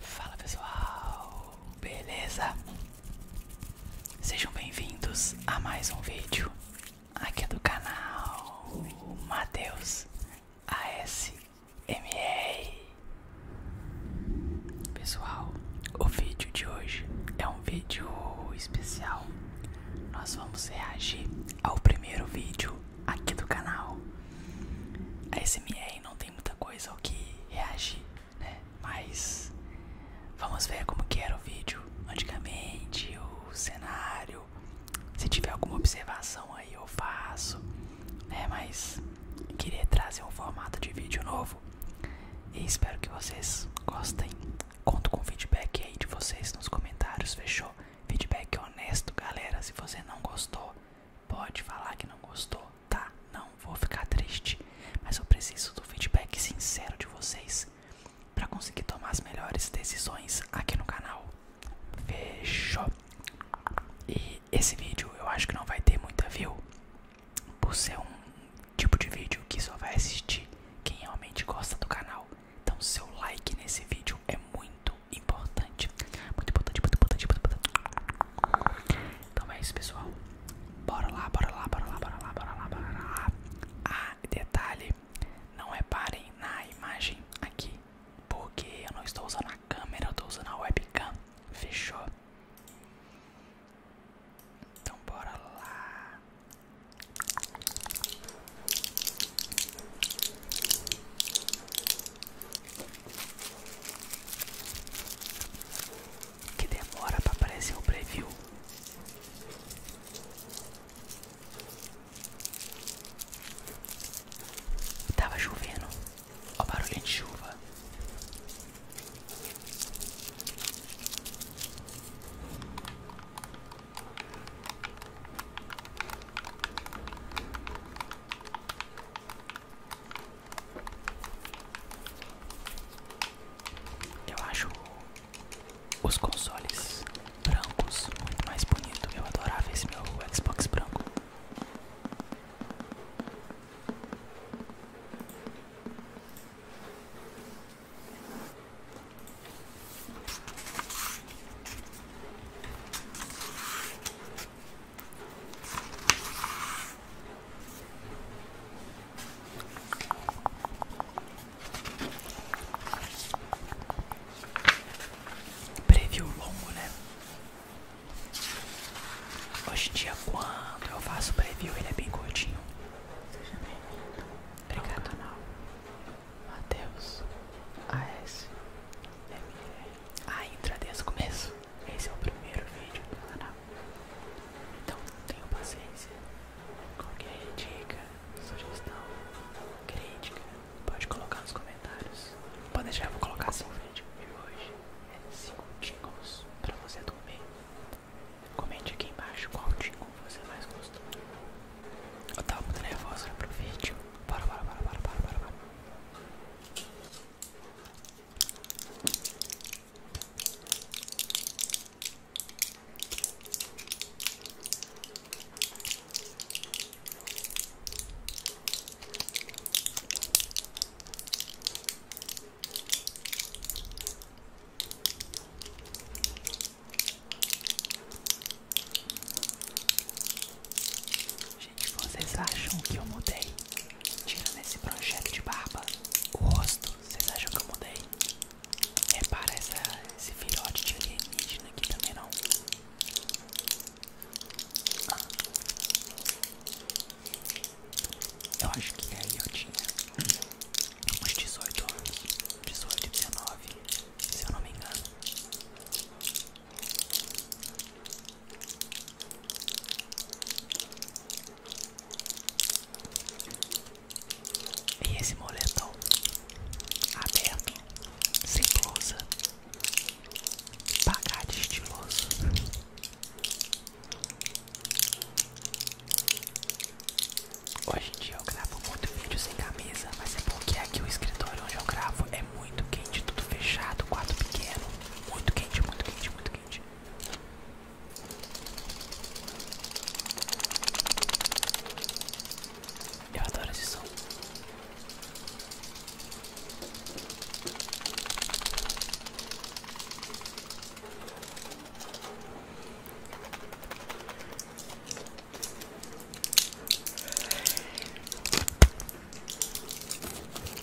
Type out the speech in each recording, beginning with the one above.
Fala pessoal, beleza? Sejam bem-vindos a mais um vídeo aqui do canal Matheus ASMR. Pessoal, o vídeo de hoje é um vídeo especial. Nós vamos reagir ao primeiro vídeo aqui do canal. A SMR não tem muita coisa ao que reagir, né? Mas vamos ver como que era o vídeo antigamente, o cenário. Se tiver alguma observação aí eu faço, né? Mas queria trazer um formato de vídeo novo e espero que vocês gostem. Conto com o feedback aí de vocês nos comentários, fechou? Feedback honesto, galera. Se você não gostou, pode falar que não gostou, tá? Não vou ficar triste, mas eu preciso do feedback sincero de vocês para conseguir tomar as melhores decisões aqui no canal. Fechou. E esse vídeo eu acho que não vai ter muita view por ser um tipo de vídeo que só vai assistir quem realmente gosta do canal. Então seu like nesse vídeo é muito importante. Muito importante, muito importante, muito importante. Então é isso, pessoal. Bora lá, bora lá, bora lá, bora lá, bora lá, bora lá. Ah, detalhe, não reparem na imagem aqui, porque eu não estou usando a câmera, eu estou usando a webcam. Fechou? Então bora lá. Que demora para aparecer o preview. Tava chovendo. Ó, barulho de chuva. Eu acho os consoles brancos muito mais bonitos. Eu adorava esse meu Xbox branco. Preview longo, né? Hoje em dia, quando eu faço preview, ele é bem curtinho. Seja bem-vindo. Obrigado. Ao canal. Matheus AS Ah, entra desde o começo Esse é o primeiro vídeo do canal Então, tenham paciência Qualquer dica, sugestão, crítica Pode colocar nos comentários Pode deixar, eu vou colocar assim o vídeo de hoje é 5 tingles pra você dormir Comente aqui embaixo qual tingle você mais gostou eu tava muito nervosa pro vídeo. para para para para para para Gente, vocês acham que eu mudei? Tirando esse projeto de barba, o rosto, vocês acham que eu mudei? Repara essa, esse filhote de alienígena aqui também não. Ah. Eu acho que aí eu tinha uns 18 anos, 18, 19 se eu não me engano. E esse moletom aberto, sem blusa, pagar de estiloso. Hoje Hoje eu gravo muito vídeo sem camisa, mas é porque aqui o escritório onde eu gravo é muito quente, tudo fechado, quarto pequeno, muito quente, muito quente, muito quente. Eu adoro esse som.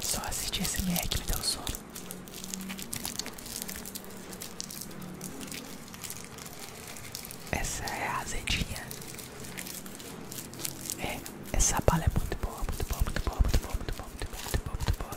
Só assistir esse meia que me deu sono. Essa é azedinha. É, essa bala é muito boa, muito boa, muito boa, muito boa, muito boa, muito boa. Muito boa.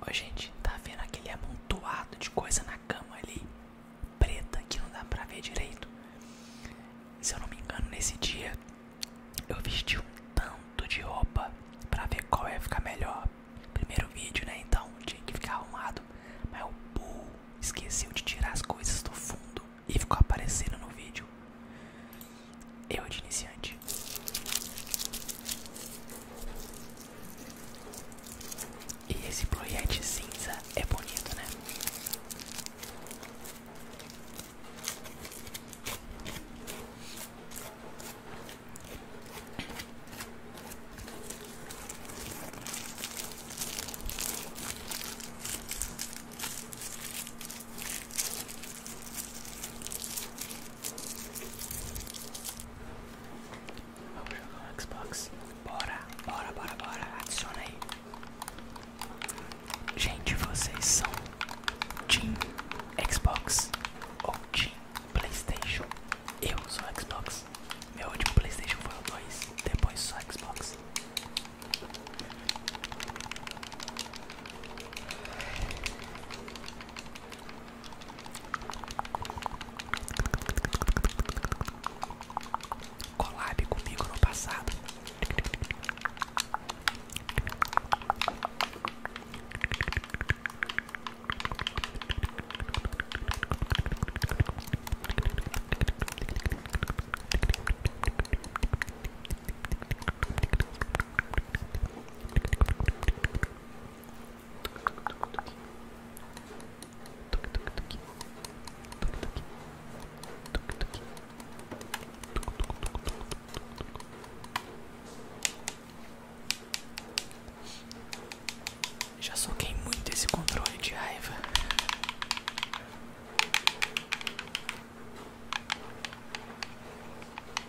Ó, gente, tá vendo aquele amontoado de coisa na cama ali? Preta, que não dá pra ver direito. Se eu não me engano, nesse dia eu vesti um tanto de roupa pra ver qual ia ficar melhor. Primeiro vídeo, né? Então tinha que ficar arrumado. Mas o Bull esqueceu de tirar as coisas do fundo e ficou aparecendo no vídeo eu de iniciante. E esse bluete cinza é bonito, né? Vamos jogar um Xbox. Bora, bora, bora, bora. Adiciona aí. Gente, vocês são Team Xbox ou Team Playstation? Eu sou Xbox. Meu último Playstation foi o 2, depois só Xbox. Colabe comigo no passado. Já soquei muito esse controle de raiva.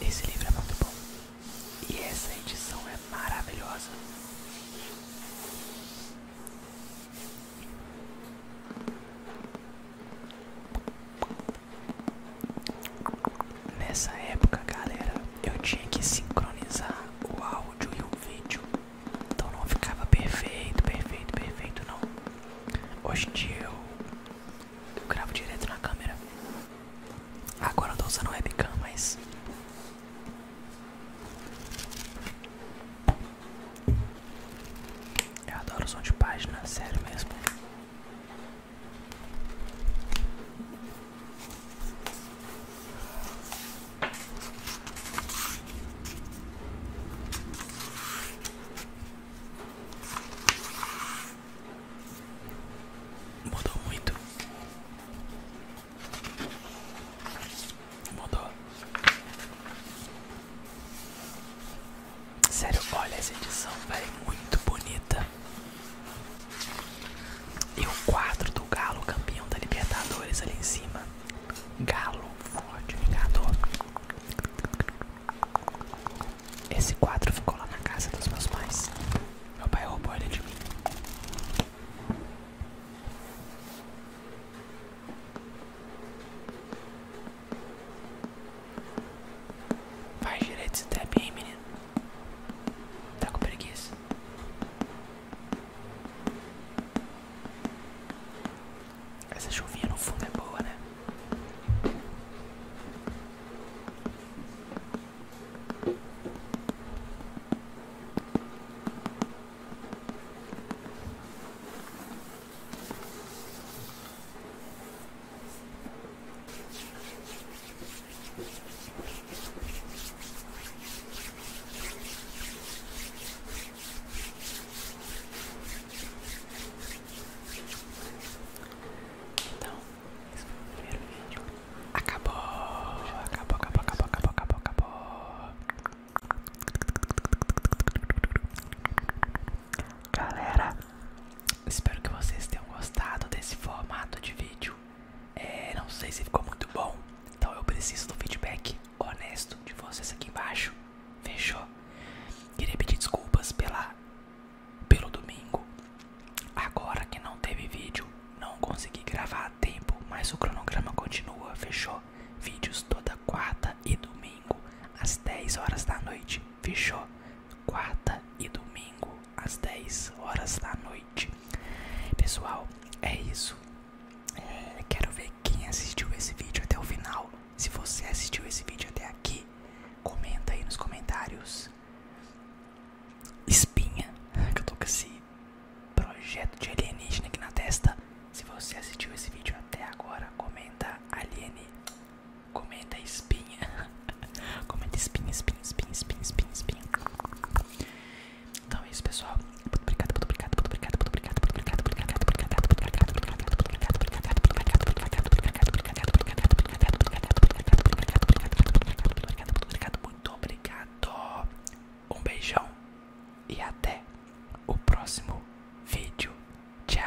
Esse livro é muito bom e essa edição é maravilhosa. Nessa época, galera, eu tinha que sincronizar o áudio áudio e um vídeo. Então não ficava perfeito, perfeito, perfeito não. hostil eu, gravo direto na câmera. Agora eu tô usando webcam, mas. Eu adoro som de página, sério mesmo. Mudou muito. Mudou. Sério, olha essa edição, vai é muito bonita. E o quadro do Galo, campeão da Libertadores, ali em cima. Galo, forte, vingador. Esse quadro ficou lá na casa dos meus pais. Meu pai roubou ele de mim. Vai direito esse tap aí, menino. Tá com preguiça. Essa chuvinha no fundo é boa, né? Então, esse primeiro vídeo. Acabou, acabou, acabou, acabou, acabou, acabou, acabou. Galera, espero que vocês tenham gostado desse formato de vídeo. É, não sei se ficou muito bom. Então eu preciso do feedback honesto de vocês aqui embaixo. Fechou? Queria pedir desculpas pela, pelo domingo. Agora que não teve vídeo, não consegui gravar a tempo, mas o cronograma continua. Fechou? Vídeos toda quarta e domingo às 10 horas da noite. Fechou? Quarta e domingo às 10 horas da noite. Pessoal, é isso. É, quero ver quem assistiu esse vídeo até o final. Se você assistiu esse vídeo até aqui, comenta aí nos comentários. Espinha, que eu tô com esse projeto de alienígena aqui na testa. Se você assistiu esse vídeo até agora, comenta aliene, comenta espinha, comenta espinha, espinha, espinha, espinha, espinha. Então é isso, pessoal. Muito obrigado, muito obrigado, muito obrigado, muito obrigado, muito obrigado, muito obrigado, muito obrigado, muito obrigado, muito obrigado, muito obrigado, muito obrigado, muito obrigado, muito obrigado, muito obrigado. Um beijão e até o próximo vídeo. Tchau.